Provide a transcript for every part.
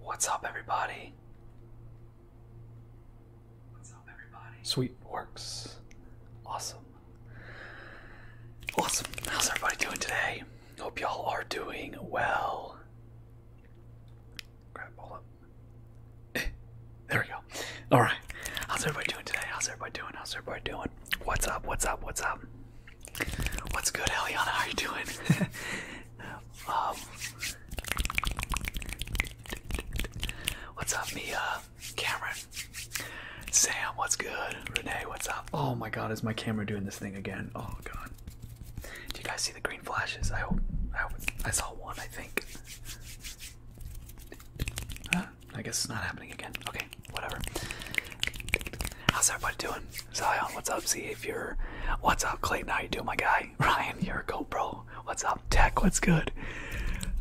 What's up, everybody? What's up, everybody? Sweet works. Awesome. Awesome. How's everybody doing today? Hope y'all are doing well. Grab all up. There we go. All right. How's everybody doing today? How's everybody doing? How's everybody doing? What's up? What's up? What's up? What's good, Eliana? How are you doing? Um, what's up, Mia? Cameron? Sam, what's good? Renee, what's up? Oh my god, is my camera doing this thing again? Oh god. Do you guys see the green? flashes. I hope. I saw one. I think. I guess it's not happening again. Okay, whatever. How's everybody doing? Zion, what's up? See if you're. What's up, Clayton? How you doing, my guy? Ryan, you're a GoPro. What's up, Tech? What's good?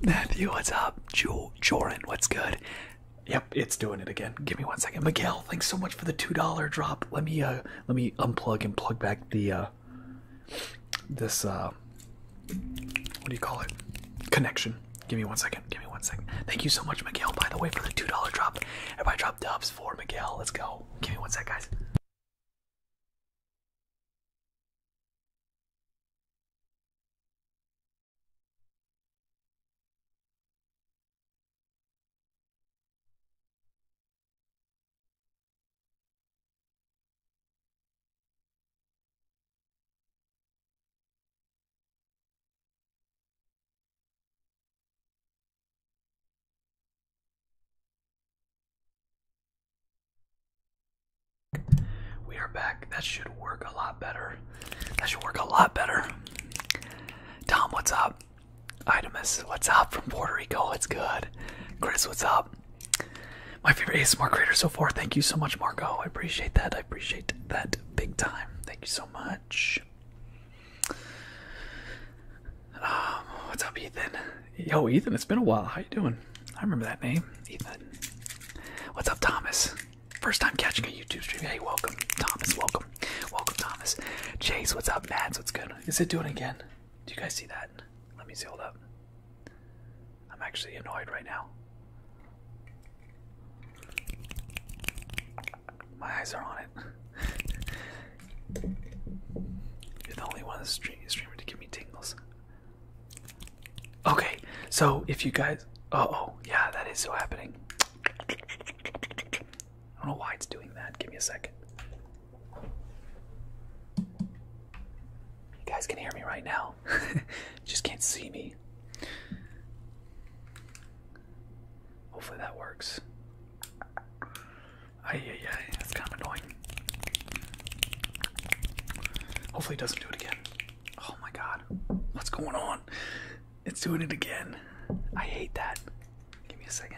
Matthew, what's up? Jo Joran, what's good? Yep, it's doing it again. Give me one second. Miguel, thanks so much for the two dollar drop. Let me uh let me unplug and plug back the uh this uh, what do you call it connection give me one second give me one second thank you so much miguel by the way for the two dollar drop everybody drop dubs for miguel let's go give me one sec guys we are back. That should work a lot better. That should work a lot better. Tom, what's up? Itemus, what's up from Puerto Rico? It's good. Chris, what's up? my favorite ASMR creator so far. Thank you so much, Marco. I appreciate that. I appreciate that big time. Thank you so much. Um, what's up, Ethan? Yo, Ethan, it's been a while. How you doing? I remember that name, Ethan. What's up, Thomas? First time catching a YouTube stream. Hey, welcome, Thomas. Welcome, welcome, Thomas. Chase, what's up, Mads? What's good? Is it doing again? Do you guys see that? Let me see. Hold up. I'm actually annoyed right now. My eyes are on it. You're the only one the stream streamer to give me tingles. Okay, so if you guys, uh oh, yeah, that is so happening. I don't know why it's doing that. Give me a second. You guys can hear me right now. Just can't see me. Hopefully that works. Ay, yeah yeah. That's kind of annoying. Hopefully it doesn't do it again. Oh my god. What's going on? It's doing it again. I hate that. Give me a second.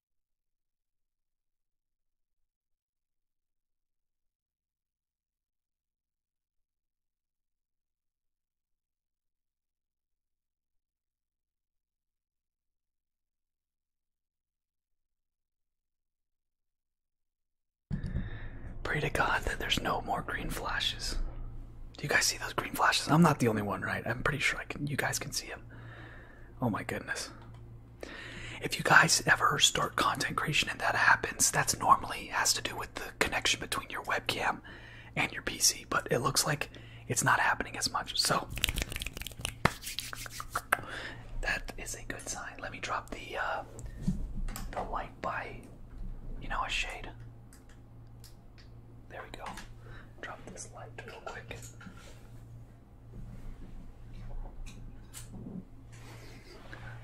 Pray to God that there's no more green flashes. Do you guys see those green flashes? I'm not the only one, right? I'm pretty sure I can. You guys can see them. Oh my goodness. If you guys ever start content creation and that happens, that's normally has to do with the connection between your webcam and your PC, but it looks like it's not happening as much. So that is a good sign. Let me drop the uh, the light by you know a shade. There we go. Drop this light real quick.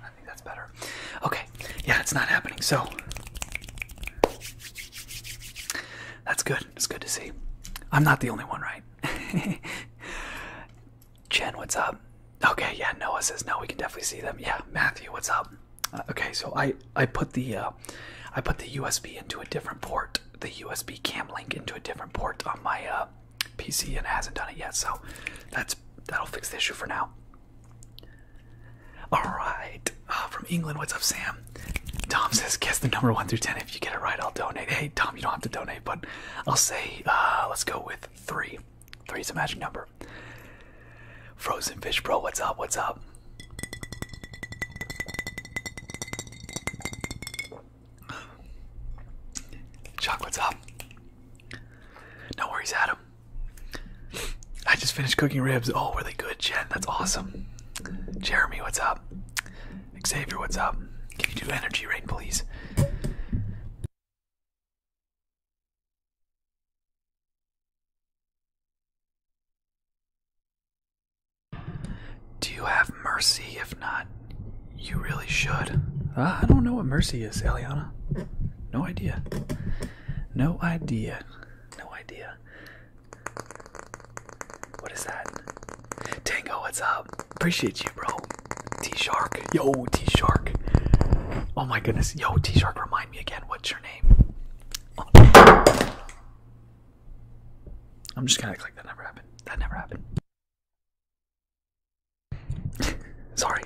I think that's better. Okay, yeah, it's not happening. So that's good. It's good to see. I'm not the only one, right? Jen, what's up? Okay, yeah, Noah says no. We can definitely see them. Yeah, Matthew, what's up? Uh, okay, so I I put the uh, I put the USB into a different port, the USB cam link into a different port on my uh, PC and hasn't done it yet, so that's that'll fix the issue for now. Alright, uh, from England, what's up, Sam? Tom says, guess the number 1 through 10. If you get it right, I'll donate. Hey, Tom, you don't have to donate, but I'll say, uh, let's go with 3. 3 is a magic number. Frozen Fish Bro, what's up? What's up? Chocolate's up. No worries, Adam. I just finished cooking ribs. Oh, were they good, Jen? That's awesome. Jeremy, what's up? Xavier, what's up? Can you do energy rain, please? Do you have mercy? If not, you really should. Ah, I don't know what mercy is, Eliana. No idea. No idea. No idea. What is that? Tango, what's up? Appreciate you, bro. T Shark. Yo, T Shark. Oh my goodness. Yo, T Shark, remind me again. What's your name? I'm just gonna click. that never happened. That never happened. Sorry.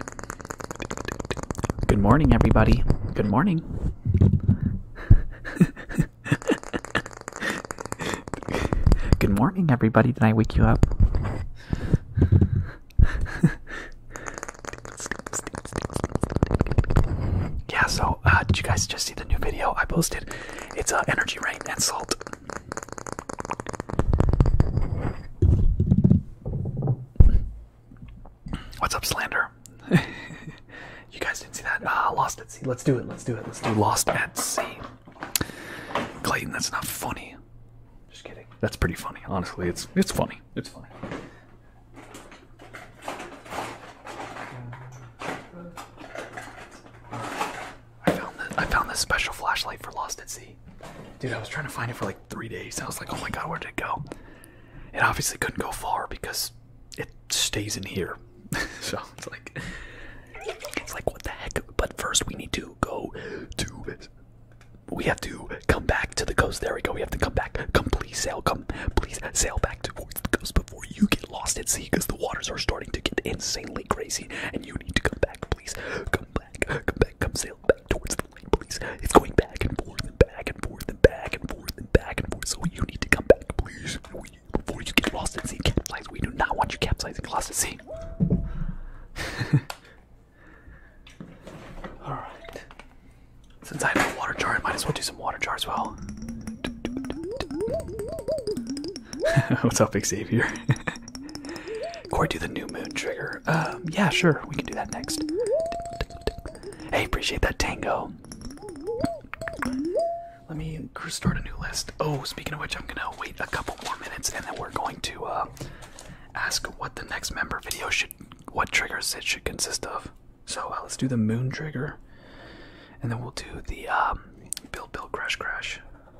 Good morning, everybody. Good morning. Good morning, everybody. Did I wake you up? yeah, so uh, did you guys just see the new video I posted? It's uh, energy rain and salt. What's up, Slander? you guys didn't see that? Ah, Lost at Sea. Let's do it. Let's do it. Let's do Lost at Sea. Clayton, that's not funny. Just kidding. That's pretty funny. Honestly, it's it's funny. It's funny. I found this, I found this special flashlight for Lost at Sea. Dude, I was trying to find it for like three days. I was like, oh my god, where did it go? It obviously couldn't go far because it stays in here. so it's like it's like what the heck? But first we need to go to we have to come back to the coast. There we go. We have to come back. Come please sail. Come please sail back towards the coast before you get lost at sea because the waters are starting to get insanely crazy and you need to come back back, please. Come back, come back, come sail back towards the light, please. It's going back and forth and back and forth and back and forth and back and forth. So you need to come back, please. Before you get lost at sea, capsize. We do not want you capsizing lost at sea. Alright. Since I have a water jar, I might as well do some water jar as well. What's up, Xavier? Core, do the new moon trigger. Um, yeah, sure, we can do that next. Hey, appreciate that tango. Let me start a new list. Oh, speaking of which, I'm gonna wait a couple more minutes, and then we're going to uh, ask what the next member video should, what triggers it should consist of. So uh, let's do the moon trigger, and then we'll do the um, build, build, crash, crash.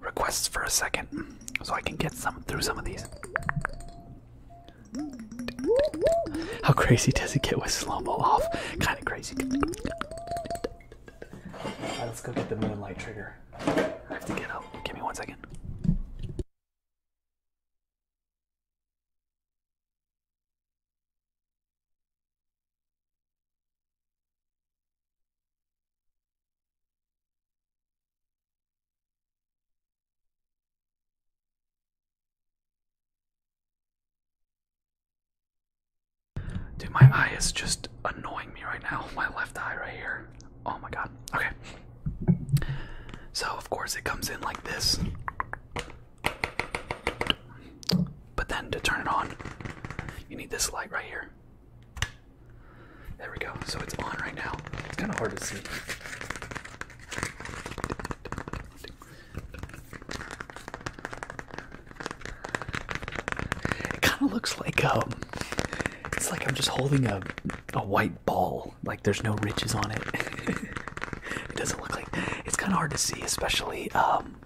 requests for a second so I can get some through some of these. How crazy does it get with slow-mo off? Kind of crazy. let's go get the moonlight trigger. I have to get up. Give me one second. Dude, my eye is just annoying me right now. My left eye right here. Oh my god. Okay. So, of course, it comes in like this. But then to turn it on, you need this light right here. There we go. So it's on right now. It's kind of hard to see. It kind of looks like um, it's like I'm just holding a a white ball. Like there's no ridges on it. it doesn't look like. It's kind of hard to see, especially um,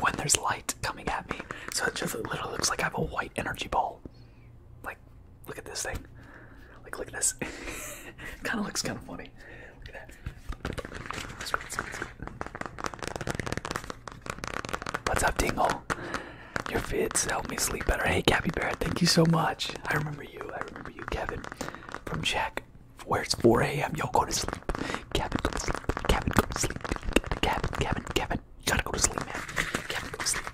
when there's light coming at me. So it just literally looks like I have a white energy ball. Like, look at this thing. Like, look at this. kind of looks kind of funny. Look at that. What's up, Dingle? Your fits help me sleep better. Hey, Cappy Bear, thank you so much. I remember you. I remember you, Kevin, from Jack. Where it's 4 a.m. Yo, go to sleep. Kevin, go to sleep. Kevin, go to sleep. Kevin, Kevin, Kevin, you gotta go to sleep, man. You gotta go to sleep.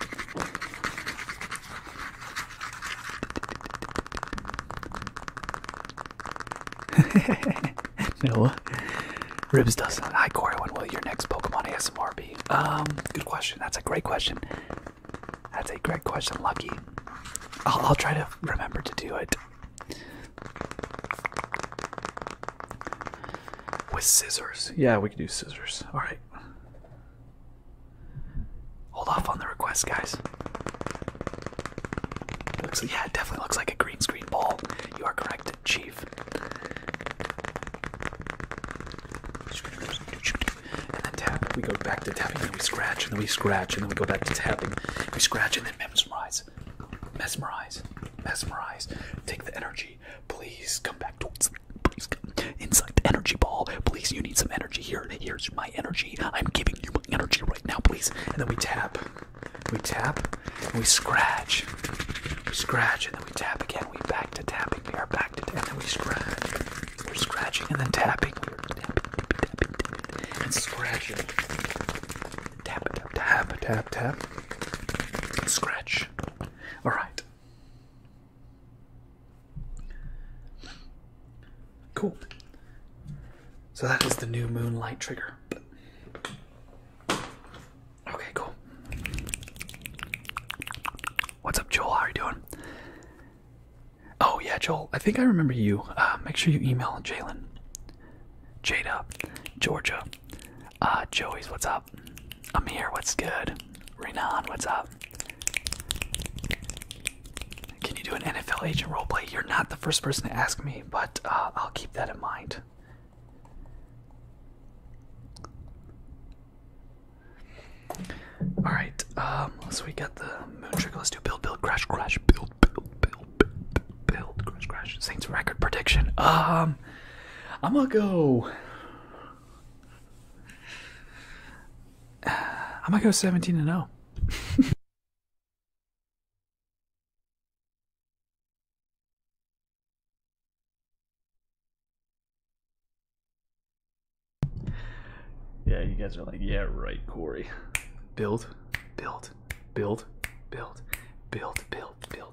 Noah. Ribs does. Hi, Corey. When will your next Pokemon ASMR be? Um, good question. That's a great question. That's a great question, Lucky. I'll, I'll try to remember to do it. With scissors. Yeah, we could do scissors. Alright. Hold off on the request, guys. yeah, it definitely looks like a green screen ball. You are correct, Chief. And then tap. We go back to tapping, and then we scratch, and then we scratch, and then we go back to tapping. We scratch and then mesmerize. Mesmerize. Mesmerize. Take the energy Please come back to please come inside the energy ball. Please, you need some energy here. Here's my energy. I'm giving you my energy right now, please. And then we tap. We tap we scratch. We scratch and then we tap again. We back to tapping. We are back to tapping. then we scratch. We're scratching and then tapping. We're tapping, tapping, tapping, and scratching. Tap, tap, tap, tap, tap. Scratch. All right. Cool. So that is the new moonlight trigger. Okay, cool. What's up, Joel? How are you doing? Oh, yeah, Joel. I think I remember you. Uh, make sure you email Jalen. Jada, Georgia. Uh, Joey's, what's up? I'm here. what's good? Renan, what's up? Can you do an NFL agent roleplay? You're not the first person to ask me, but uh, I'll keep that in mind. All right, um, so we got the moon trick. Let's do build, build, crash, crash, build, build, build, build, build, crash, crash. Saints record prediction. Um, I'm gonna go. I'm gonna go 17 and 0. yeah, you guys are like, yeah, right, Corey. Build, build, build, build, build, build, build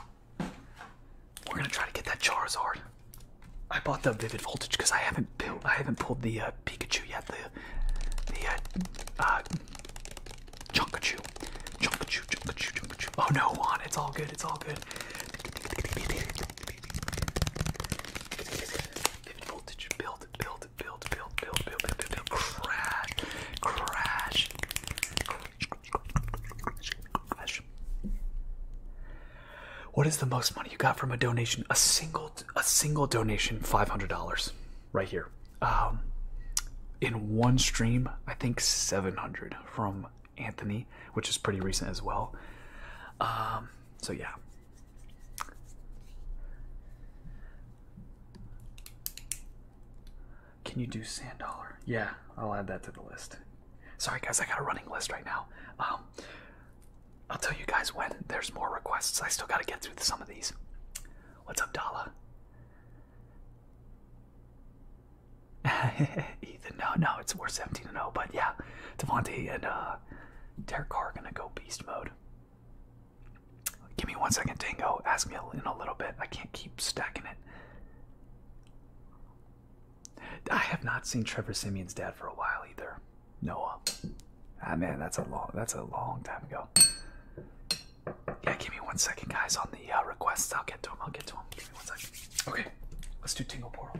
We're gonna try to get that Charizard. I bought the Vivid Voltage because I haven't built, I haven't pulled the uh, Pikachu yet. The the uh, uh, Chunkachu, Chunkachu, Chunkachu, Chunkachu. Oh no, Juan, it's all good. It's all good. Voltage, build, build, build, build, build, build, build, build, build. crash, crash, what is the most money you got from a donation? A single, a single donation, five hundred dollars, right here. Um, in one stream, I think seven hundred from Anthony, which is pretty recent as well. Um, so yeah. Can you do sand dollar? Yeah, I'll add that to the list. Sorry guys, I got a running list right now. Um, I'll tell you guys when there's more requests. I still got to get through some of these. What's up, Dala? Ethan, no, no, it's we're 17 0, but yeah, Devontae and uh, Derek Carr are gonna go beast mode. Give me one second, Tango. Ask me in a little bit. I can't keep stacking it. I have not seen Trevor Simeon's dad for a while either. Noah. Ah man, that's a long that's a long time ago. Yeah, give me one second, guys, on the uh, requests. I'll get to them. I'll get to them. Give me one second. Okay, let's do Tingle Portal.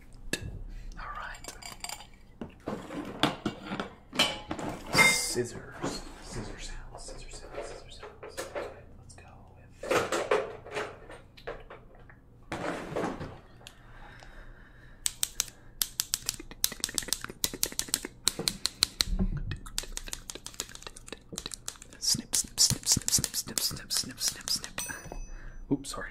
All right. Scissors. Scissor sounds. Scissor sounds. Scissor sounds. Okay, let's go with. Snip, snip, snip, snip, snip, snip, snip, snip, snip. Oops, sorry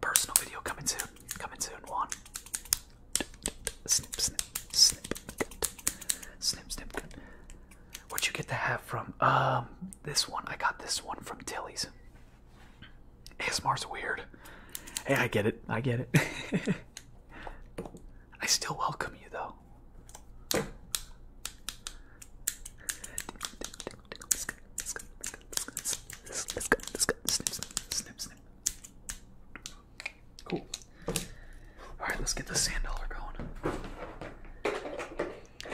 personal video coming soon. Coming soon. One. Snip, snip, snip, cut. Snip, snip, cut. would you get the hat from? Um, this one. I got this one from Tilly's. ASMR's weird. Hey, I get it. I get it. I still welcome you, though. Cool. Alright, let's get the sand going.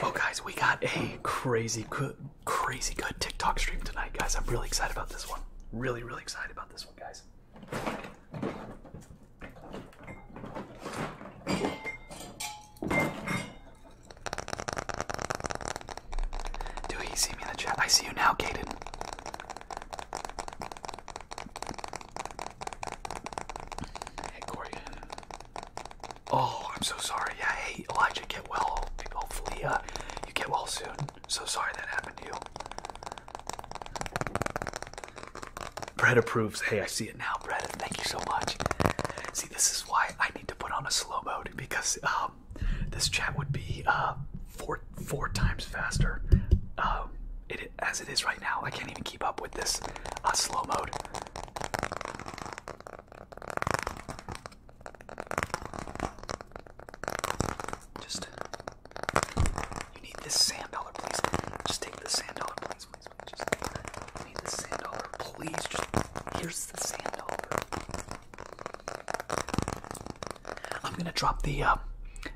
Oh, guys, we got a crazy crazy good TikTok stream tonight, guys. I'm really excited about this one. Really, really excited about this one, guys. Do he see me in the chat? I see you now, Kaden. Hey, Corey. Oh, I'm so sorry. Yeah, hey, Elijah, get well. Hopefully, uh, you get well soon. So sorry that happened to you. Brett approves. Hey, I see it now, Brett. Thank you so much. See, this is why I need to put on a slow mode because uh, um, this chat would be uh, four four times faster uh, as it is right now. I can't even keep up with this uh, slow mode. Just you need this sand dollar, please. Just take the sand dollar, please, please. please. Just need the sand dollar, please. Just here's the sand dollar. I'm gonna drop the uh,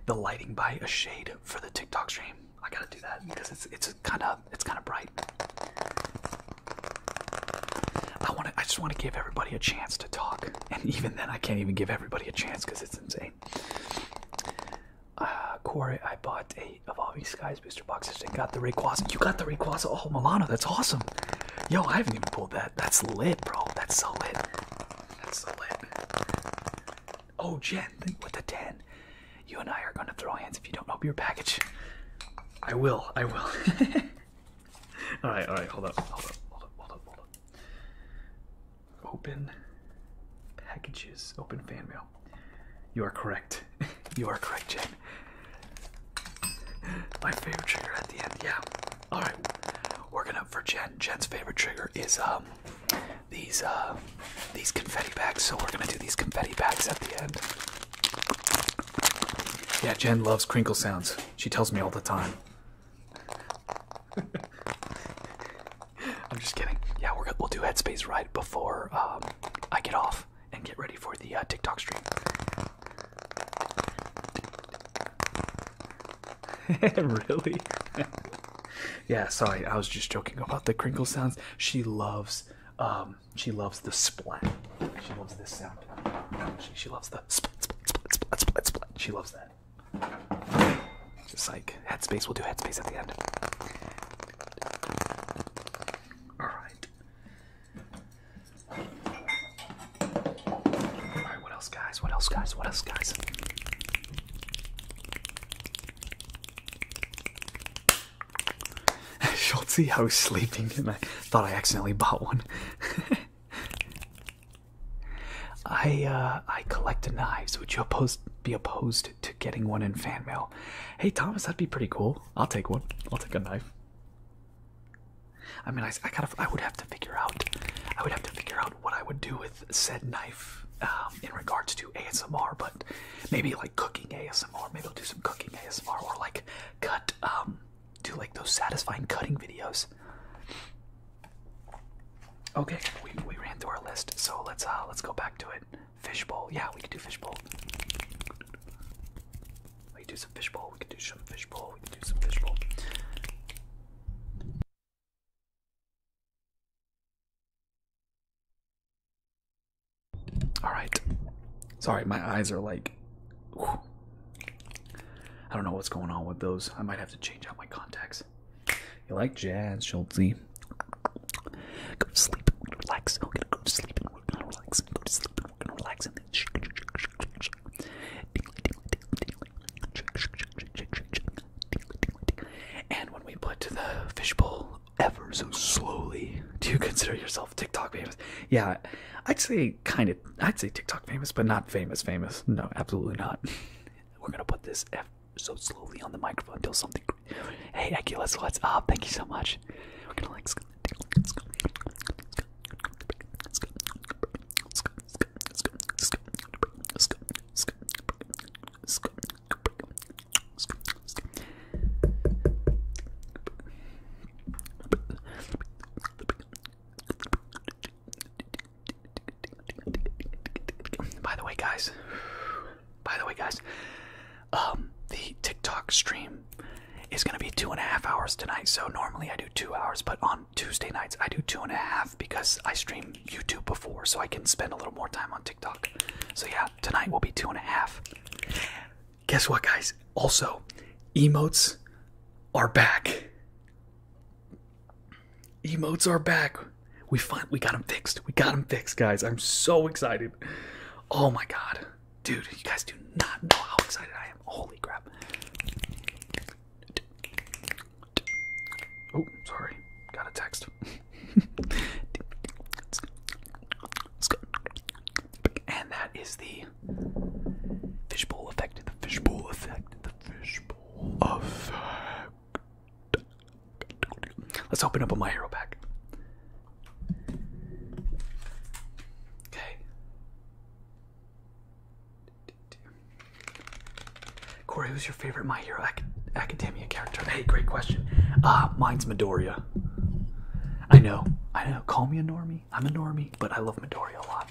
the lighting by a shade for the TikTok stream. I gotta do that because it's it's kind of it's kind of bright. I want I just want to give everybody a chance to talk, and even then I can't even give everybody a chance because it's insane. Uh, Corey, I bought a Evolving Skies booster box and got the Rayquaza. You got the Rayquaza? Oh, Milano, that's awesome. Yo, I haven't even pulled that. That's lit, bro. That's so lit. That's so lit. Oh, Jen, with the 10. You and I are going to throw hands if you don't open your package. I will. I will. all right, all right. Hold up. Hold up. Hold up. Hold up. Hold up. Open packages. Open fan mail. You are correct. you are correct, Jen. My favorite trigger at the end. Yeah. All right, working up for Jen. Jen's favorite trigger is um these uh these confetti bags. So we're gonna do these confetti bags at the end. Yeah, Jen loves crinkle sounds. She tells me all the time. I'm just kidding. Yeah, we're we'll do headspace right before um, I get off and get ready for the uh, TikTok stream. really? yeah, sorry, I was just joking about the crinkle sounds. She loves um she loves the splat. She loves this sound. She, loves the splat splat splat splat splat splat. She loves that. Just like headspace, we'll do headspace at the end. Alright. Alright, what else, guys? What else, guys? What else, guys? Schultzy, I was sleeping and I thought I accidentally bought one. I uh, I collect knives. Would you opposed be opposed to getting one in fan mail? Hey Thomas, that'd be pretty cool. I'll take one. I'll take a knife. I mean, I, I gotta. I would have to figure out. I would have to figure out what I would do with said knife um, in regards to ASMR, but maybe like cooking ASMR. Maybe I'll do some cooking ASMR or like cut. Um, do like those satisfying cutting videos. Okay, we we ran through our list, so let's uh, let's go back to it. Fishbowl, yeah, we can do fishbowl. We can do some fishbowl. We can do some fishbowl. We can do some fishbowl. All right. Sorry, my eyes are like. I don't know what's going on with those. I might have to change out my contacts. You like jazz, Schultzy? Go to sleep. Relax. Go to sleep. Relax. Go to sleep and when we put the fishbowl ever so slowly, do you consider yourself TikTok famous? Yeah, I'd say kind of. I'd say TikTok famous, but not famous famous. No, absolutely not. We're gonna put this ever so slowly on the microphone until something. Hey, Eki, let's let up. Ah, thank you so much. By the way, guys, by the way, guys, um, the TikTok stream is going to be two and a half hours tonight. So normally I do two hours, but on Tuesday nights. I do two and a half because I stream YouTube before, so I can spend a little more time on TikTok. So yeah, tonight will be two and a half. Guess what, guys? Also, emotes are back. Emotes are back. We find we got them fixed. We got them fixed, guys. I'm so excited. Oh my god, dude! You guys do not know how excited I am. Holy crap! Oh, sorry. Got a text. and that is the fishbowl effect. The fishbowl effect. The fishbowl effect. Let's open up a My Hero pack. Okay. Corey, who's your favorite My Hero Academia character? Hey, great question. Uh, mine's Midoriya. I know, I know. Call me a normie. I'm a normie, but I love Midoriya a lot.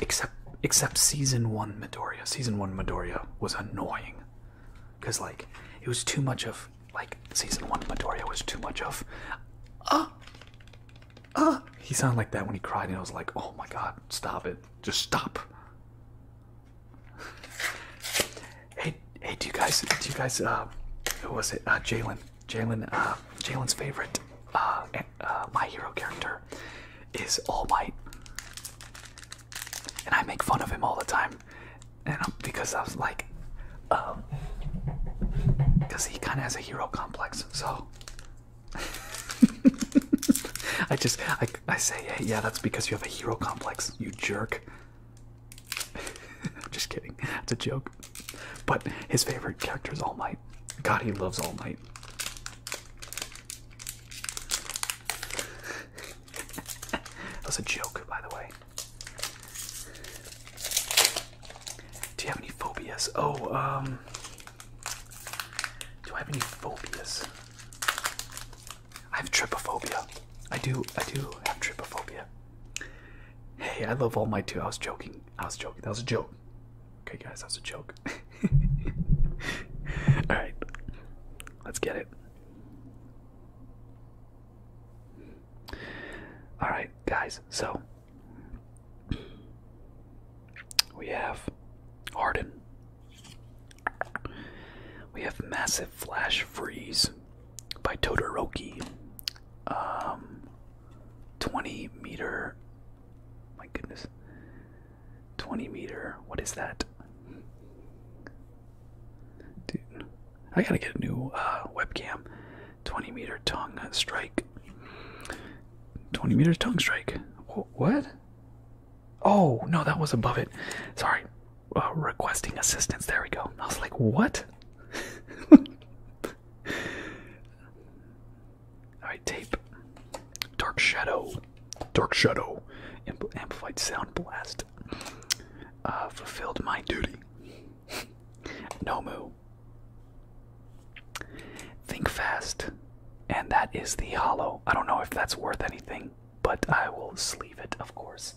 Except, except season one Midoriya. Season one Midoriya was annoying, cause like it was too much of like season one Midoriya was too much of. Uh, ah he sounded like that when he cried and i was like oh my god stop it just stop hey hey do you guys do you guys uh who was it uh jalen jalen uh jalen's favorite uh, uh my hero character is all and i make fun of him all the time and I'm, because i was like um because he kind of has a hero complex so I just I I say hey yeah that's because you have a hero complex you jerk. just kidding. It's a joke. But his favorite character is All Might. God, he loves All Might. was a joke, by the way. Do you have any phobias? Oh, um, do I have any phobias? I have trypophobia. I do. I do have trypophobia. Hey, I love all my two. I was joking. I was joking. That was a joke. Okay, guys, that was a joke. all right, let's get it. All right, guys. So we have Arden. We have Massive Flash Freeze by Todoroki. Um, 20 meter. My goodness. 20 meter. What is that? Dude, I gotta get a new uh, webcam. 20 meter tongue strike. 20 meter tongue strike. What? Oh, no, that was above it. Sorry. Uh, requesting assistance. There we go. I was like, what? Alright, tape. Dark shadow. Dark shadow. amplified sound blast. Uh, fulfilled my duty. Nomu. Think fast. And that is the hollow. I don't know if that's worth anything, but I will sleeve it, of course.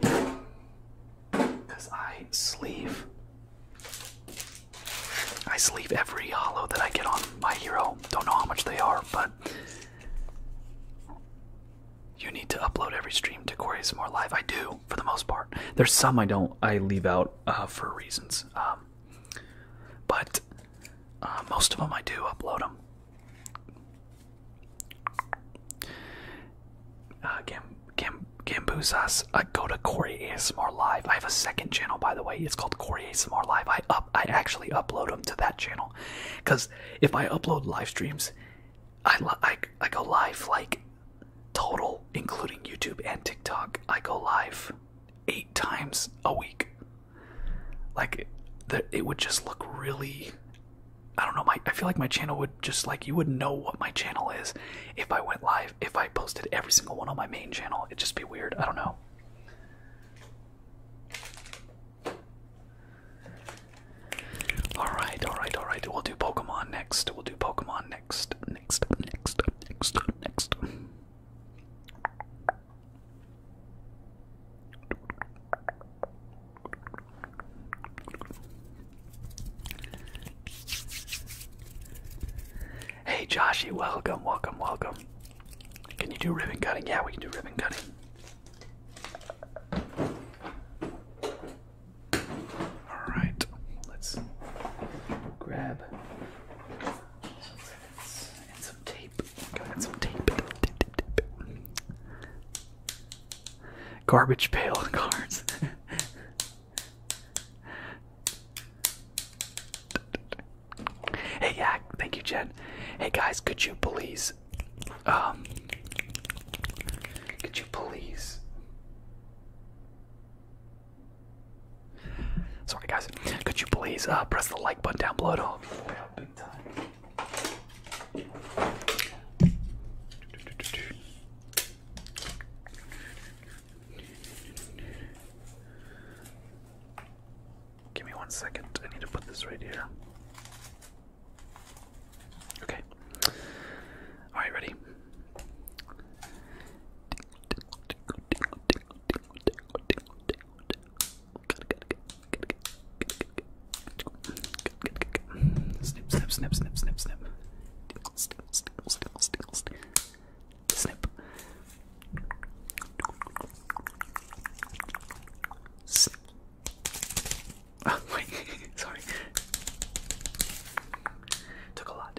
Because I sleeve. I sleeve every hollow that I get on my hero. Don't know how much they are, but you need to upload every stream to Quarry More Live. I do, for the most part. There's some I don't I leave out uh, for reasons. Um, but uh, most of them I do upload them. Uh, Gam Gam Gambusas, I go to Corey ASMR Live. I have a second channel, by the way. It's called Corey ASMR Live. I up, I actually upload them to that channel, because if I upload live streams, I, I I go live like total, including YouTube and TikTok, I go live eight times a week. Like, the, it would just look really. I don't know. My I feel like my channel would just like you would know what my channel is if I went live. If I posted every single one on my main channel, it'd just be weird. I don't know. All right, all right, all right. We'll do Pokemon next. We'll do Pokemon next, next, next, next, next. Hey Joshy, welcome, welcome, welcome. Can you do ribbon cutting? Yeah, we can do ribbon cutting. All right, let's grab some ribbons and some tape. Got some tape. Garbage pail cards. hey, yeah, thank you, Jen. Hey, guys, could you please, um, could you please Sorry, guys. Could you please uh, press the like button down below? It'll Give me one second. I need to put this right here. Okay. All right, ready. Snip, snip, snip, snip, snip, snip. Snip, snip, snip, snip, snip. Snip. Snip. Oh, wait, sorry. Took a lot.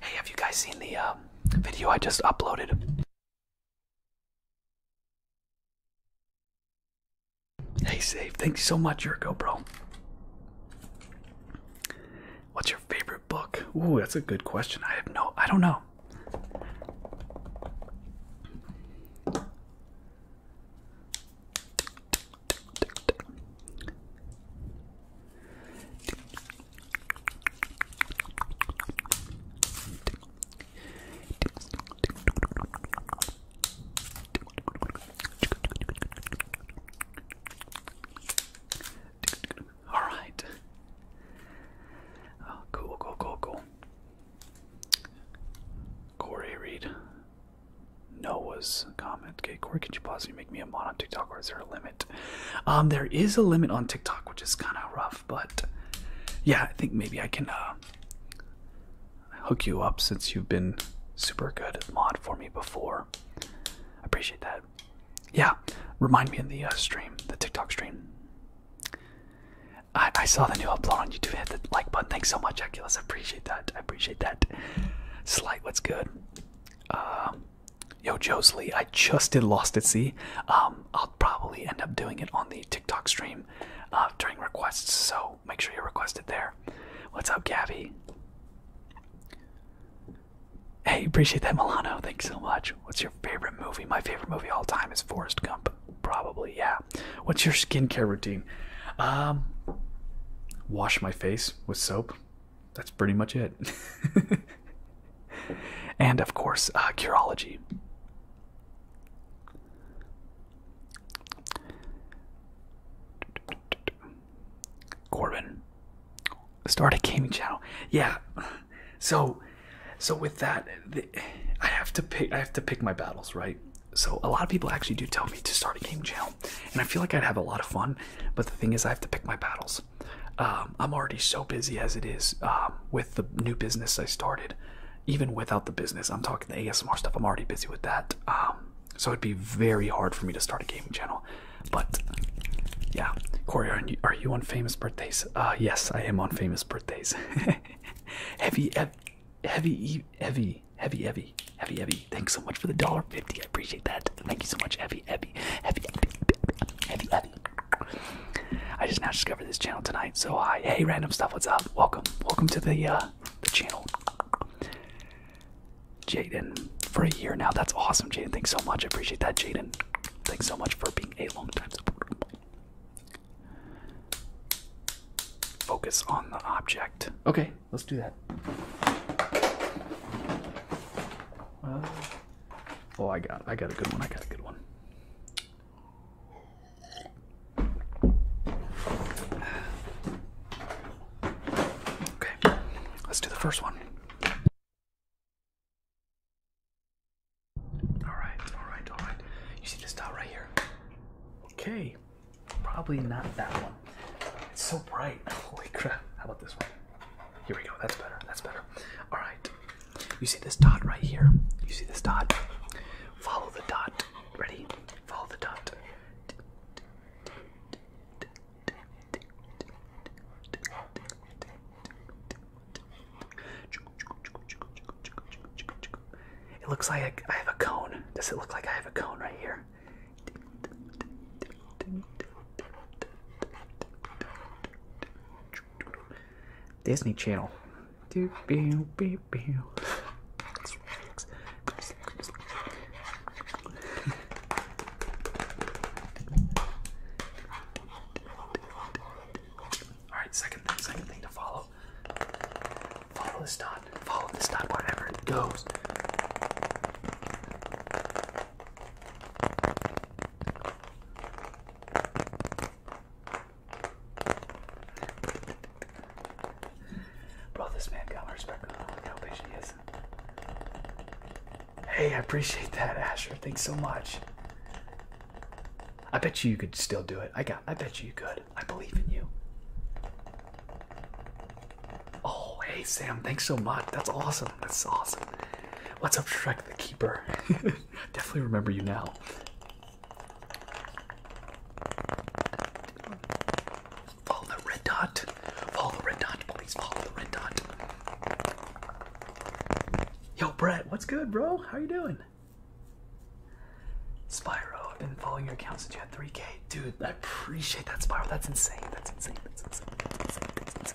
Hey, have you guys seen the uh, video I just uploaded? Hey, Save, Thanks so much, Your GoPro. What's your favorite book? Ooh, that's a good question. I have no, I don't know. All right. Oh, cool, cool, cool, cool. Corey read Noah's comment. Okay, Corey, could you possibly make me a mod on TikTok or is there a limit? Um, there is a limit on TikTok, which is kind of rough, but yeah, I think maybe I can uh, hook you up since you've been super good mod for me before. Appreciate that. Yeah, remind me in the uh, stream, the TikTok stream. I, I saw the new upload on YouTube. Hit the like button. Thanks so much, Aculus. I appreciate that. I appreciate that. Slight, what's good? Uh, Yo, Josley, I just did Lost at Sea. Um, I'll probably end up doing it on the TikTok stream uh, during requests, so make sure you request it there. What's up, Gabby? Hey, appreciate that, Milano. Thanks so much. What's your favorite movie? My favorite movie all time is Forrest Gump. Probably, yeah. What's your skincare routine? Um, wash my face with soap that's pretty much it. and of course, uh, Curology. Corbin, start a gaming channel. Yeah, so, so with that, I have to pick. I have to pick my battles, right? So a lot of people actually do tell me to start a game channel, and I feel like I'd have a lot of fun. But the thing is, I have to pick my battles else. Um, I'm already so busy as it is um, with the new business I started. Even without the business, I'm talking the ASMR stuff. I'm already busy with that. Um, so it'd be very hard for me to start a gaming channel. But yeah, Corey, are you, are you on famous birthdays? Uh, yes, I am on famous birthdays. heavy, heavy, heavy, heavy, heavy, heavy, heavy, heavy. Thanks so much for the dollar fifty. I appreciate that. Thank you so much, heavy, heavy, heavy, heavy, heavy, heavy, heavy, I just now discovered this channel tonight, so hi, hey, random stuff, what's up? Welcome, welcome to the uh, the channel. Jaden, for a year now, that's awesome, Jaden. Thanks so much, I appreciate that, Jaden. Thanks so much for being a long time supporter. Focus on the object. Okay, let's do that. Oh, I got, I got a good one. I got a good one. Okay, let's do the first one. All right, all right, all right. You see this dot right here? Okay, probably not that one. It's so bright. Holy crap! How about this one? Here we go. That's better. That's better. All right. You see this dot right here? You see this dot? Follow the dot. Ready? Follow the dot. It looks like I have a cone. Does it look like I have a cone right here? Disney Channel. Alright, second thing, second thing to follow. Follow this dot. Follow this dot wherever it goes. Bro, this man got my respect. Look how patient he is. Hey, I appreciate that, Asher. Thanks so much. I bet you you could still do it. I got. I bet you you could. I believe in you. Oh, hey Sam. Thanks so much. That's awesome awesome. That's awesome. What's up, Shrek the Keeper? Definitely remember you now. Follow the red dot. Follow the red dot. Please follow the red dot. Yo, Brett, what's good, bro? How you doing? Spyro, I've been following your account since you had 3K. Dude, I appreciate that, Spyro. That's insane. That's insane. That's insane. That's insane. That's insane.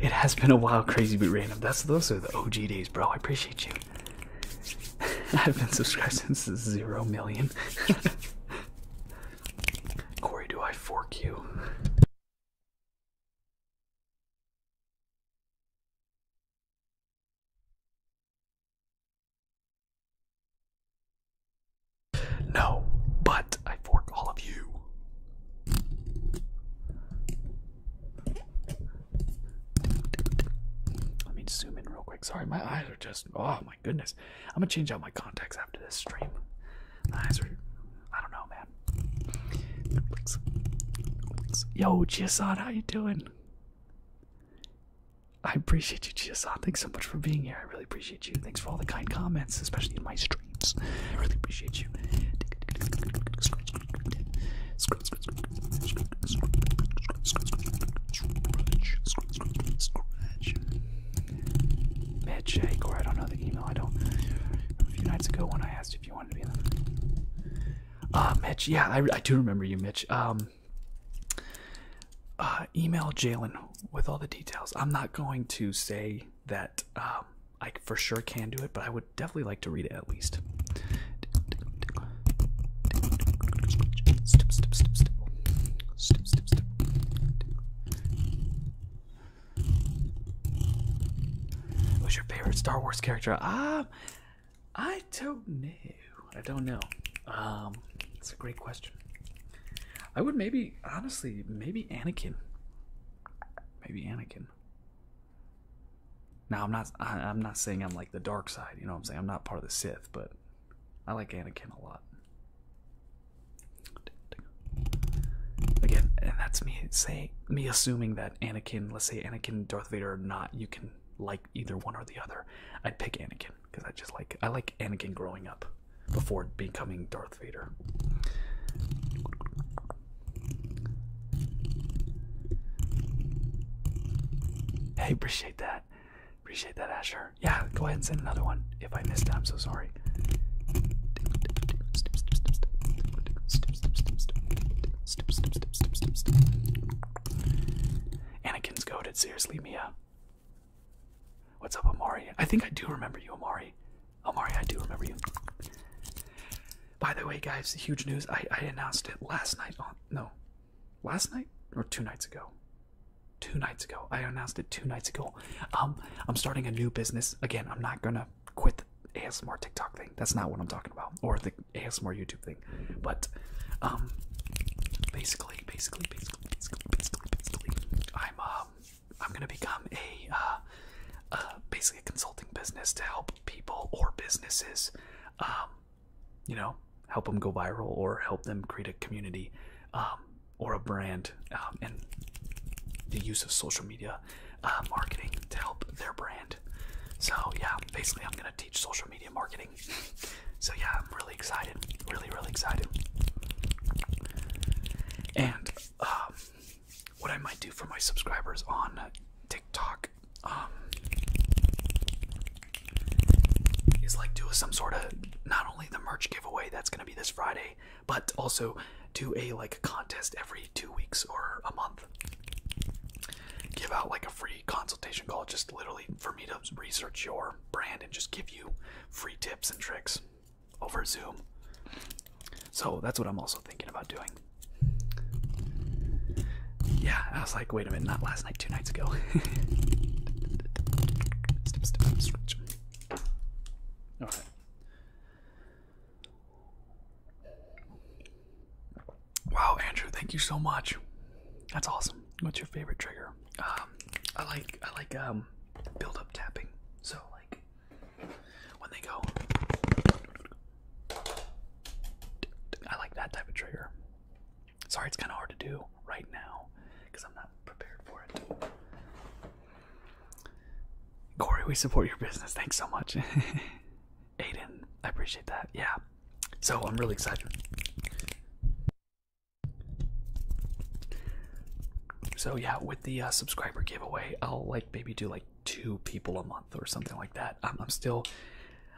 It has been a while, crazy but random. That's those are the OG days, bro. I appreciate you. I've been subscribed since zero million. Corey, do I fork you? No, but I fork all of you. Let me zoom in real quick. Sorry, my eyes are just oh my goodness. I'm gonna change out my contacts after this stream. My eyes are I don't know, man. Yo, Chisan, how you doing? I appreciate you, Chia-san. Thanks so much for being here. I really appreciate you. Thanks for all the kind comments, especially in my streams. I really appreciate you. Mad Shake, or I don't know the email. I don't. A few nights ago, when I asked if you wanted to be in the. Ah, uh, Mitch. Yeah, I, I do remember you, Mitch. Um, um, uh, email Jalen with all the details. I'm not going to say that um, I for sure can do it, but I would definitely like to read it at least. Who's your favorite Star Wars character? Ah, I don't know. I don't know. it's um, a great question. I would maybe, honestly, maybe Anakin. Maybe Anakin. Now I'm not. I, am not saying I'm like the dark side. You know what I'm saying? I'm not part of the Sith, but I like Anakin a lot. Again, and that's me saying me assuming that Anakin, let's say Anakin, Darth Vader, or not, you can like either one or the other. I'd pick Anakin because I just like I like Anakin growing up before becoming Darth Vader. Hey, appreciate that. Appreciate that, Asher. Yeah, go ahead and send another one. If I missed I'm so sorry. Anakin's goaded. Seriously, Mia. What's up, Amari? I think I do remember you, Amari. Amari, I do remember you. By the way, guys, huge news. I, I announced it last night on. No. Last night? Or two nights ago? Two nights ago. I announced it two nights ago. Um, I'm starting a new business. Again, I'm not gonna quit the ASMR TikTok thing. That's not what I'm talking about. Or the ASMR YouTube thing. But um basically, basically, basically, basically, basically, basically I'm um I'm gonna become a uh, uh basically a consulting business to help people or businesses um you know help them go viral or help them create a community um or a brand um, and the use of social media uh, marketing to help their brand. So yeah, basically I'm gonna teach social media marketing so yeah, I'm really excited, really, really excited. And um, what I might do for my subscribers on TikTok um, is like do some sort of not only the merch giveaway that's gonna be this Friday, but also do a like contest every two weeks or a month. Give out like a free consultation call just literally for me to research your brand and just give you free tips and tricks over Zoom. So that's what I'm also thinking about doing. Yeah, I was like, wait a minute, not last night, two nights ago. Alright. Wow, Andrew, thank you so much. That's awesome. What's your favorite trigger? Um, I like I like um build up tapping. So like when they go I like that type of trigger. Sorry, it's kind of hard to do right now because I'm not prepared for it. Corey, we support your business. Thanks so much. Aiden, I appreciate that. Yeah, so I'm really excited. So yeah, with the uh, subscriber giveaway, I'll like maybe do like two people a month or something like that. Um, I'm still,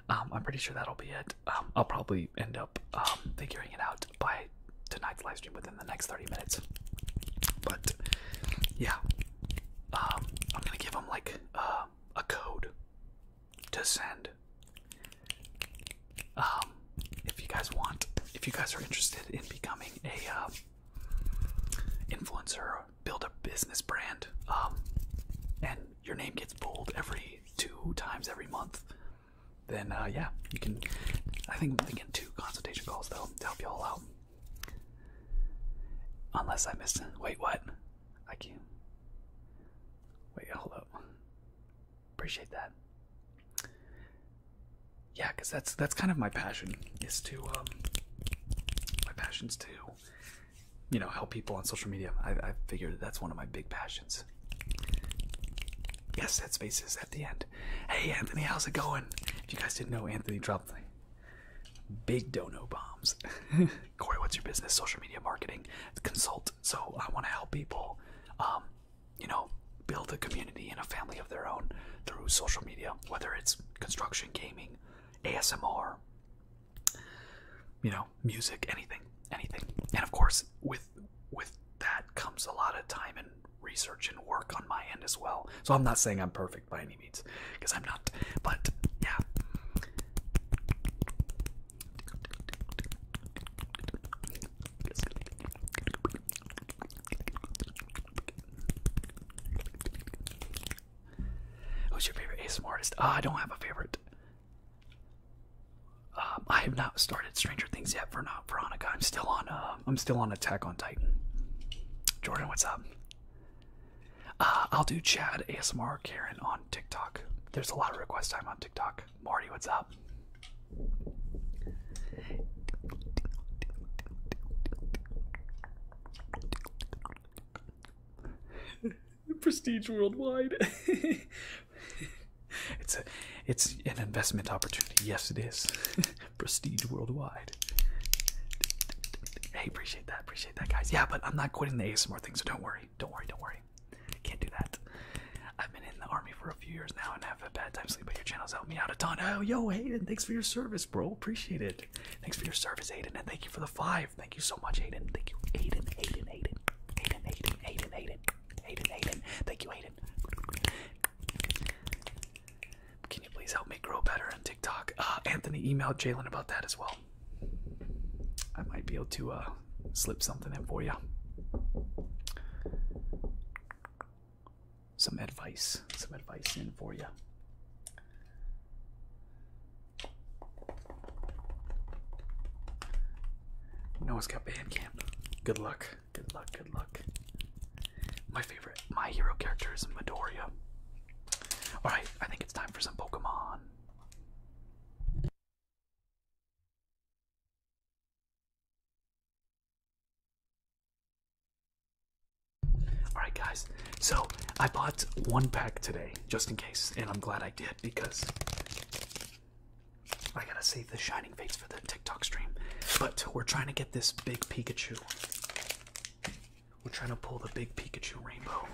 um, I'm pretty sure that'll be it. Um, I'll probably end up figuring it out by tonight's live stream within the next 30 minutes. But yeah, I'm gonna give them like uh, a code to send. Um, if you guys want, if you guys are interested in becoming a um, influencer, build a business brand, um, and your name gets pulled every two times every month, then uh, yeah, you can. I think I'm thinking two consultation calls though to help you all out. Unless I missed. Wait, what? I can't. Wait, hold up appreciate that. Yeah, because that's that's kind of my passion is to um, my passions to you know help people on social media. I, I figured that's one of my big passions. Yes, that space is at the end. Hey, Anthony, how's it going? If you guys didn't know, Anthony dropped big dono bombs. Corey, what's your business? Social media marketing consult. So I want to help people, um, you know, build a community and a family of their own through social media, whether it's construction, gaming, ASMR, you know, music, anything, anything. And of course, with with that comes a lot of time and research and work on my end as well. So I'm not saying I'm perfect by any means, because I'm not. But yeah. Who's your favorite ASMR artist? Ah, I don't have a favorite. Um, I have not started Stranger Things yet for not Veronica. I'm still on. Uh, I'm still on Attack on Titan. Jordan, what's up? Uh, I'll do Chad ASMR Karen on TikTok. There's a lot of requests I'm on TikTok. Marty, what's up? Prestige worldwide. it's a, it's an investment opportunity. Yes, it is. Prestige worldwide. Hey, appreciate that. Appreciate that, guys. Yeah, but I'm not quitting the ASMR thing, so don't worry don't worry, don't worry. Can't do that. I've been in the army for a few years now and have a bad time sleeping. your channel's help me out a ton. Oh, yo, Hayden, thanks for your service, bro. Appreciate it. Thanks for your service, Hayden, and thank you for the five. Thank you so much, Hayden. Thank you, Hayden, Hayden, Hayden, Hayden, Hayden, Hayden, Hayden, Thank you, Hayden. Can you please help me grow better on TikTok? Uh, Anthony emailed Jalen about that as well. I might be able to uh, slip something in for you. Some advice, some advice in for you. No one's got Bandcamp. Good luck, good luck, good luck. My favorite, my hero character is Midoriya. Alright, I think it's time for some Pokemon. Alright, guys, so I bought one pack today just in case, and I'm glad I did because I gotta save the Shining Fates for the TikTok stream. But we're trying to get this big Pikachu. We're trying to pull the big Pikachu rainbow.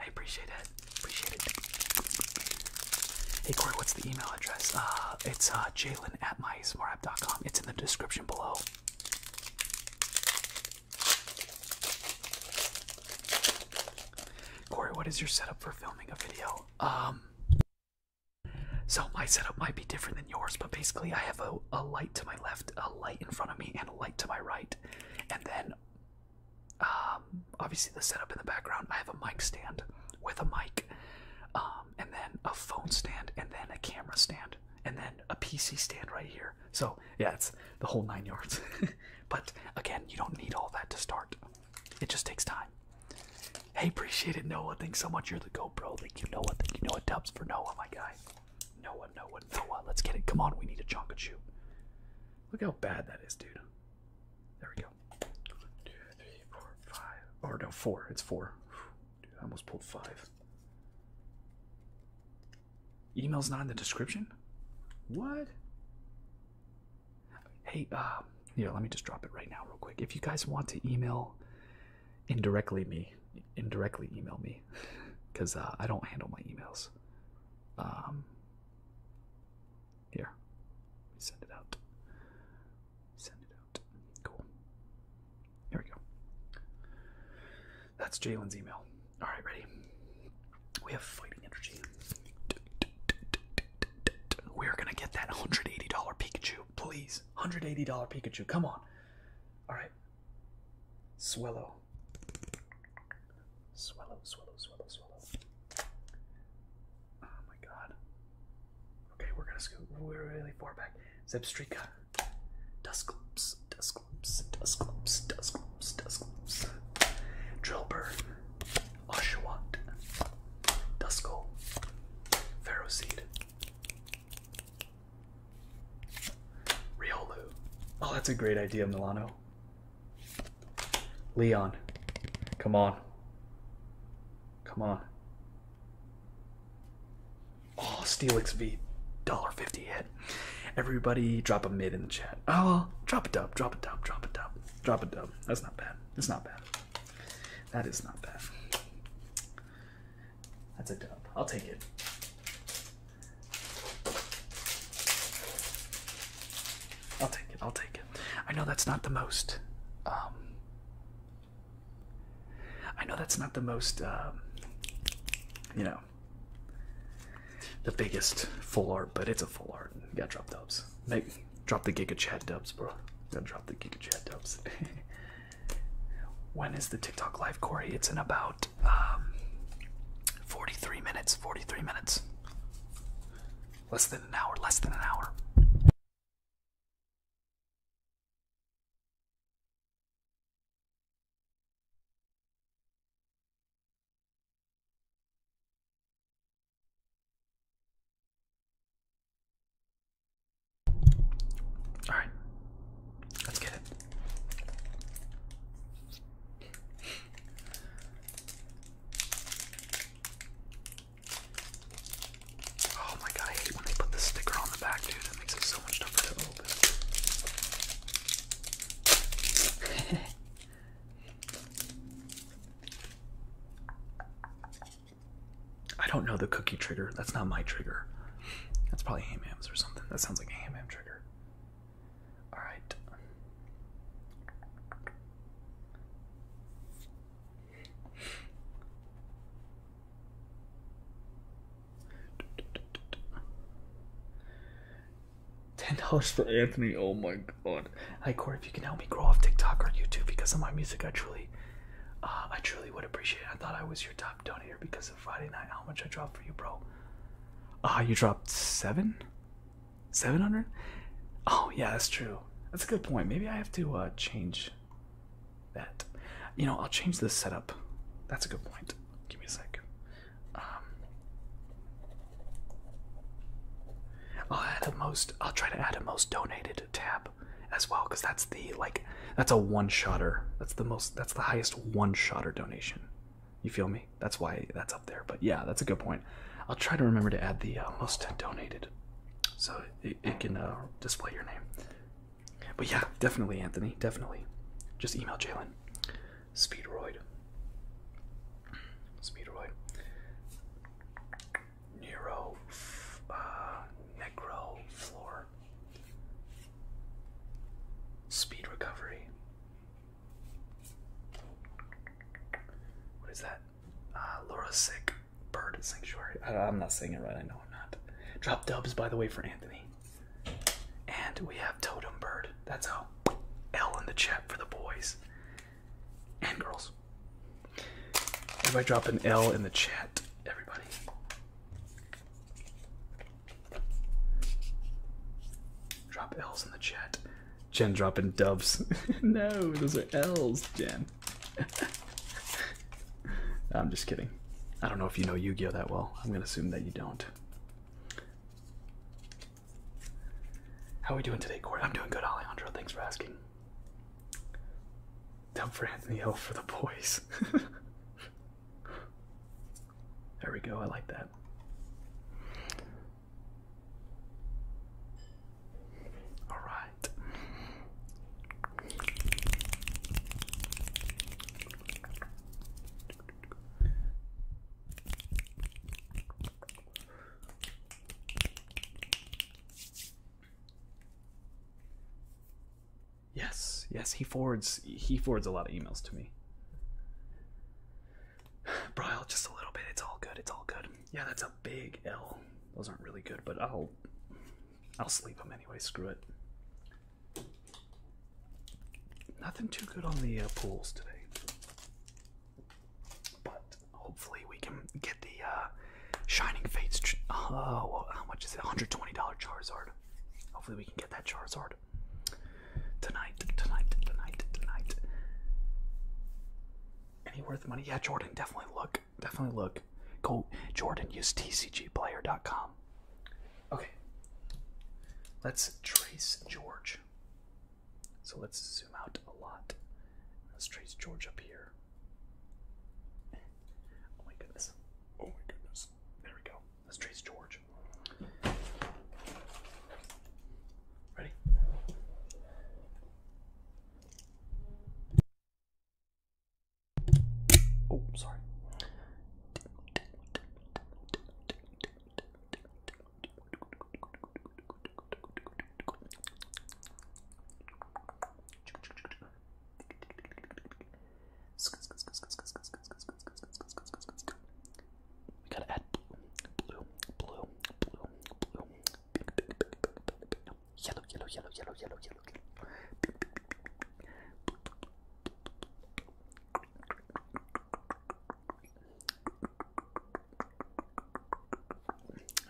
I appreciate it. Appreciate it. Hey Corey, what's the email address? Uh, it's uh, Jalen at mysmartapp.com. It's in the description below. Corey, what is your setup for filming a video? Um, so my setup might be different than yours, but basically I have a, a light to my left, a light in front of me, and a light to my right. And then, um, obviously, the setup in the background I have a mic stand with a mic, um, and then a phone stand, and then a camera stand, and then a PC stand right here. So, yeah, it's the whole nine yards. but again, you don't need all that to start, it just takes time. Hey, appreciate it, Noah. Thanks so much. You're the GoPro. Thank you, Noah. Thank you, Noah Dubs for Noah, my guy. No one, Noah, Noah, Noah. Let's get it. Come on, we need a Chonkachu. Look how bad that is, dude. There we go. Two, three, four, five. Or no, four. It's four. Dude, I almost pulled five. Email's not in the description? What? Hey, uh, yeah. let me just drop it right now, real quick. If you guys want to email indirectly me, indirectly email me because uh, I don't handle my emails. Um, here, send it out. Send it out. Cool. Here we go. That's Jalen's email. All right, ready. We have fighting energy. We're gonna get that $180 Pikachu, please. $180 Pikachu, come on. All right, Swallow. Swallow, swallow, swallow, swallow. Oh my god. Okay, we're gonna scoot we're really far back. Zebstrika. Dusclops, Dusclops, Dusclops, Dusclops, Dusclops. Drillbur. Oshawott. Dusko. Pharaoh Seed. Riolu. Oh, that's a great idea, Milano. Leon. Come on. Come on. Oh, Steelix V. $1.50 hit. Everybody drop a mid in the chat. Oh, drop a dub, drop a dub, drop a dub, drop a dub. That's not bad. That's not bad. That is not bad. That's a dub. I'll take it. I'll take it. I'll take it. I know that's not the most. Um, I know that's not the most. Um, you know, the biggest full art, but it's a full art. You got drop dubs. Maybe drop the Giga Chad dubs, bro. Gotta drop the Giga Chad dubs. when is the TikTok live, Corey? It's in about um, 43 minutes, 43 minutes. Less than an hour, less than an hour. All right, let's get it. Oh my god, I hate when they put the sticker on the back, dude. That makes it so much tougher to open. I don't know the cookie trigger. That's not my trigger. That's probably Ham or something. That sounds like a Ham trigger. Alright. Ten dollars for Anthony. Oh my god. Hi Corey, if you can help me grow off TikTok or YouTube because of my music, I truly, uh, I truly would appreciate. it. I thought I was your top donator because of Friday night. How much I dropped for you, bro? Ah, you dropped seven, seven hundred. Oh yeah, that's true. That's a good point. Maybe I have to uh, change that. You know, I'll change the setup. That's a good point. Give me a second. Um, I'll add a most. I'll try to add a most donated tab as well, because that's the like that's a one shotter. That's the most. That's the highest one shotter donation. You feel me? That's why that's up there. But yeah, that's a good point. I'll try to remember to add the uh, most donated, so it, can uh, display your name. But yeah, definitely, Anthony. Definitely. Just email Jalen. Speedroid. Speedroid. Nero. Uh, Necro floor. Speed recovery. What is that? Uh, Laura Sick Bird Sanctuary. I, am not saying it right. I know I'm not. Drop dubs, by the way, for Anthony. And we have Totem Bird. That's how. L in the chat for the boys and girls. If I drop an L in the chat. Everybody. Drop L's in the chat. Jen dropping doves. no, those are L's, Jen. I'm just kidding. I don't know if you know Yu-Gi-Oh that well. I'm gonna assume that you don't. How are we doing today, Corey? I'm doing good, Alejandro. Thanks for asking. Dump for Anthony Hill for the boys. There we go, I like that. All right. Yes, yes, he forwards he forwards a lot of emails to me. Brile, just a little bit. It's all good. It's all good. Yeah, that's a big L. Those aren't really good, but I'll I'll sleep them anyway. Screw it. Nothing too good on the uh, pools today. But hopefully we can get the uh, Shining Fates. Oh, how much is it? $120 Charizard. Hopefully we can get that Charizard. Tonight, tonight, tonight, tonight. Any worth money? Yeah, Jordan, definitely look. Definitely look. Go, Jordan, use tcgplayer.com. Okay. Let's trace George. So let's zoom out a lot. Let's trace George up here. Oh my goodness. Oh my goodness. There we go. Let's trace George. Ready? Oh, sorry. We gotta add blue, blue, blue, blue, yellow, yellow, yellow, yellow, yellow, yellow, yellow.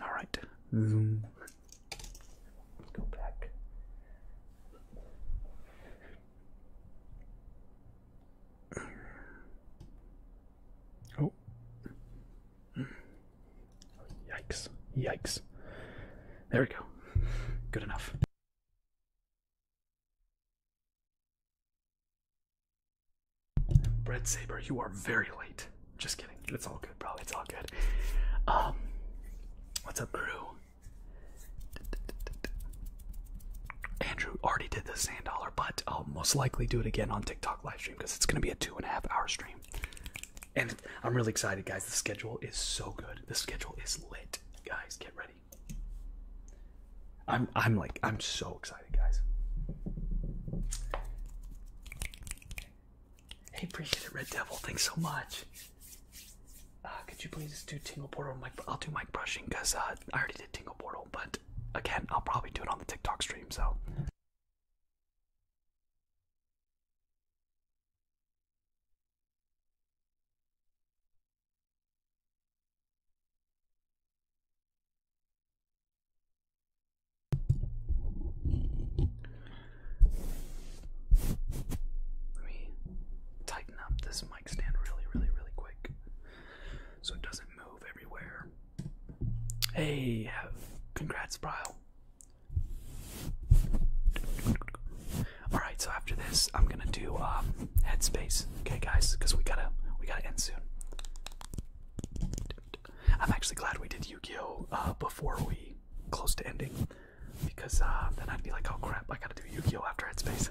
All right. Zoom. Let's go back. Oh. Yikes. Yikes. There we go. Good enough. Bread Saber, you are very late. Just kidding. It's all good, bro. It's all good. Um, what's up, crew? Andrew already did the sand dollar, but I'll most likely do it again on TikTok live stream because it's gonna be a two and a half hour stream. And I'm really excited, guys. The schedule is so good. The schedule is lit, guys. Get ready. I'm I'm like I'm so excited, guys. Hey, appreciate it, Red Devil. Thanks so much. Uh, could you please do tingle portal? Mic I'll do mic brushing because uh, I already did tingle portal, but again, I'll probably do it on the TikTok stream. So. Let me tighten up this mic stand really, really, really quick so it doesn't move everywhere. Hey, congrats, Bryle. Alright, so after this, I'm gonna do um, headspace, okay, guys, because we gotta we gotta end soon. I'm actually glad we did Yu-Gi-Oh uh, before we close to ending because then I'd be like, oh crap, I gotta do Yukio after Headspace.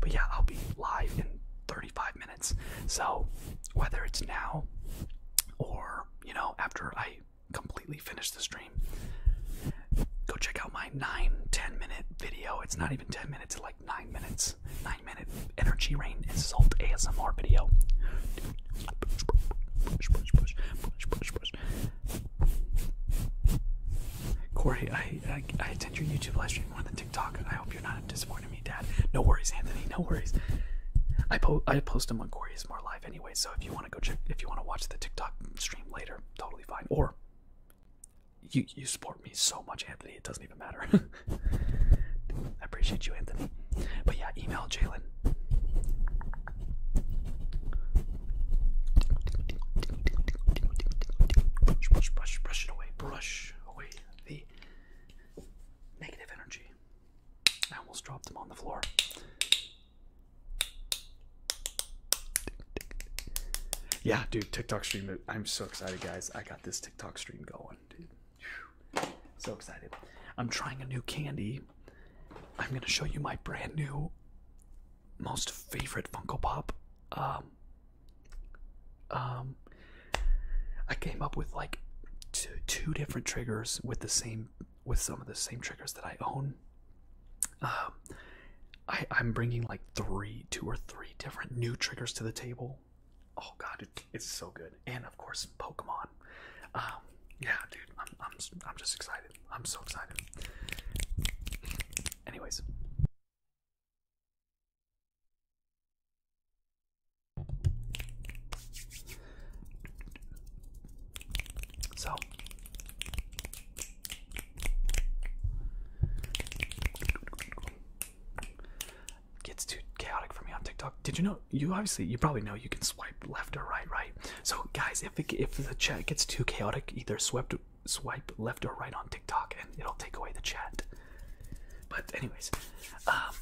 but yeah, I'll be live in 35 minutes. So whether it's now or you know after I completely finish the stream, go check out my nine ten minute video. It's not even 10 minutes, it's like nine minutes. Nine minute energy rain insult ASMR video. Corey, I, I attend your YouTube live stream more than TikTok. I hope you're not disappointing me, Dad. No worries, Anthony. No worries. I po I post them on Corey's more live anyway. So if you want to go check, if you want to watch the TikTok stream later, totally fine. Or you you support me so much, Anthony. It doesn't even matter. I appreciate you, Anthony. But yeah, email Jalen. Brush, brush, brush, brush it away. Brush away the negative energy. I almost dropped them on the floor. Yeah, dude, TikTok stream. I'm so excited, guys. I got this TikTok stream going, dude. So excited. I'm trying a new candy. I'm going to show you my brand new most favorite Funko Pop. Um, um, I came up with like two, two different triggers with the same with some of the same triggers that I own. Um, I I'm bringing like three, two or three different new triggers to the table. Oh god, it's so good, and of course Pokemon. Um, yeah, dude, I'm I'm I'm just excited. I'm so excited. Anyways. So gets too chaotic for me on TikTok. Did you know? You obviously, you probably know you can swipe left or right, right? So, guys, if if the chat gets too chaotic, either swipe to, swipe left or right on TikTok and it'll take away the chat. But anyways, um,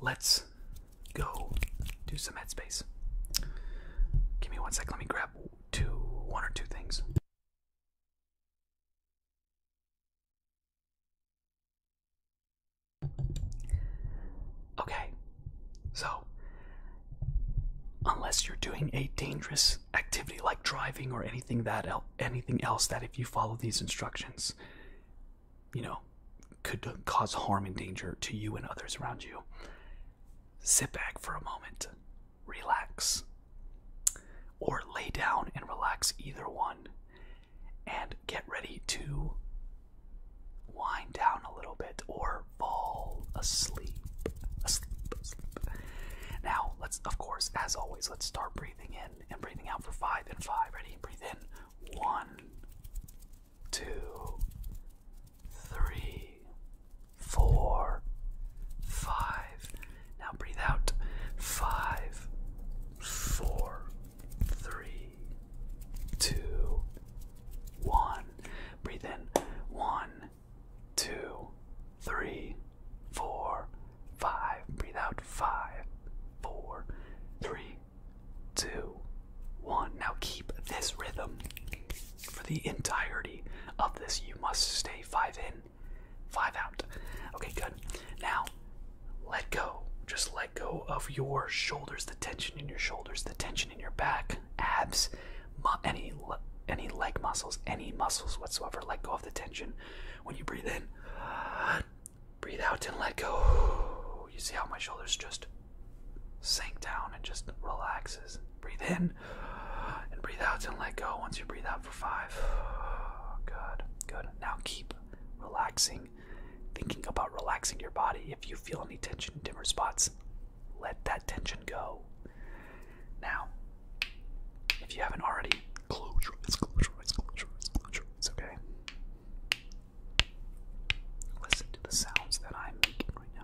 let's go do some headspace. Give me one sec. Let me grab two, one or two things. Okay, so unless you're doing a dangerous activity like driving or anything that anything else that if you follow these instructions you know could cause harm and danger to you and others around you sit back for a moment relax or lay down and relax either one and get ready to wind down a little bit or fall asleep now, let's, of course, as always, let's start breathing in and breathing out for five and five. Ready? Breathe in. One, two, three, four, five. Now breathe out. Five, four, three, two, one. Breathe in. One, two, three, four, five. Breathe out five, four, three, two, one. Now keep this rhythm for the entirety of this. You must stay five in, five out. Okay, good. Now let go. Just let go of your shoulders, the tension in your shoulders, the tension in your back, abs, any any leg muscles, any muscles whatsoever. Let go of the tension. When you breathe in, breathe out and let go. You see how my shoulders just sink down and just relaxes. Breathe in and breathe out and let go. Once you breathe out for five, good, good. Now keep relaxing, thinking about relaxing your body. If you feel any tension in different spots, let that tension go. Now, if you haven't already, close okay? Listen to the sounds that I'm making right now.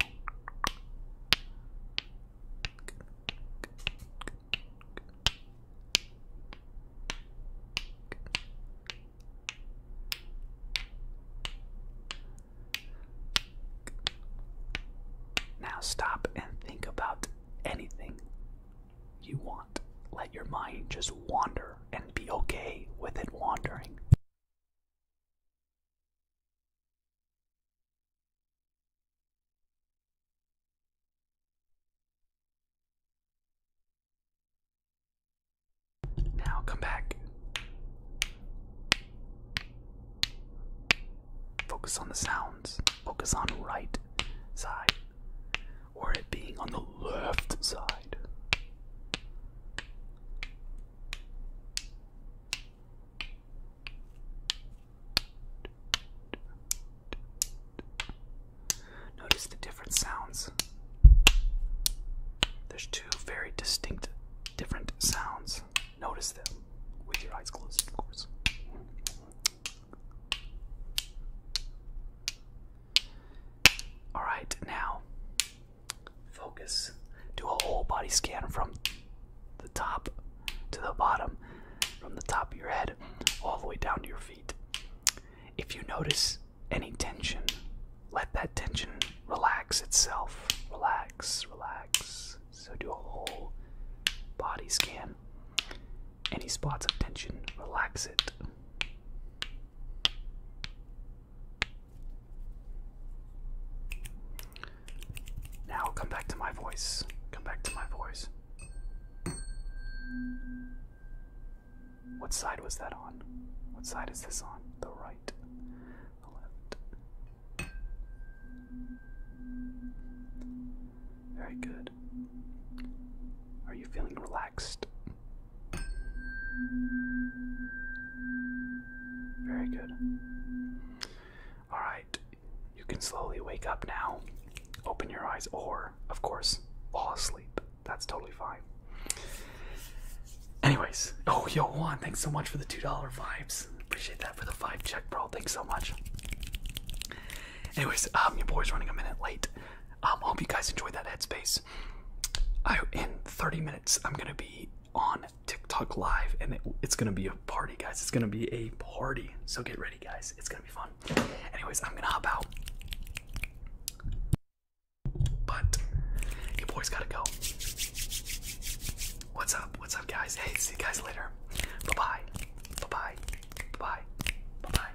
Now stop and think about anything you want. Let your mind just wander and be okay with it wandering. Now come back Focus on the sounds. Focus on right side. Or it being on the left side. Notice the different sounds. There's two very distinct different sounds. Notice them with your eyes closed, of course. All right, now focus. Do a whole body scan from the top to the bottom, from the top of your head all the way down to your feet. If you notice any tension, let that tension relax itself. Relax, relax. So do a whole body scan. Any spots of tension, relax it. Now come back to my voice. Come back to my voice. What side was that on? What side is this on? The right, the left, very good. Are you feeling relaxed? Very good. Alright, you can slowly wake up now, open your eyes, or, of course, fall asleep. That's totally fine. Anyways, oh, yo, Juan, thanks so much for the $2 vibes. Nice. Appreciate that for the five check, bro. Thanks so much. Anyways, um, your boy's running a minute late. Um, I hope you guys enjoyed that headspace. I in 30 minutes I'm gonna be on TikTok live, and it's gonna be a party, guys. It's gonna be a party. So get ready, guys. It's gonna be fun. Anyways, I'm gonna hop out. But your boy's gotta go. What's up? What's up, guys? Hey, see you guys later. Bye bye. Bye bye. Bye bye.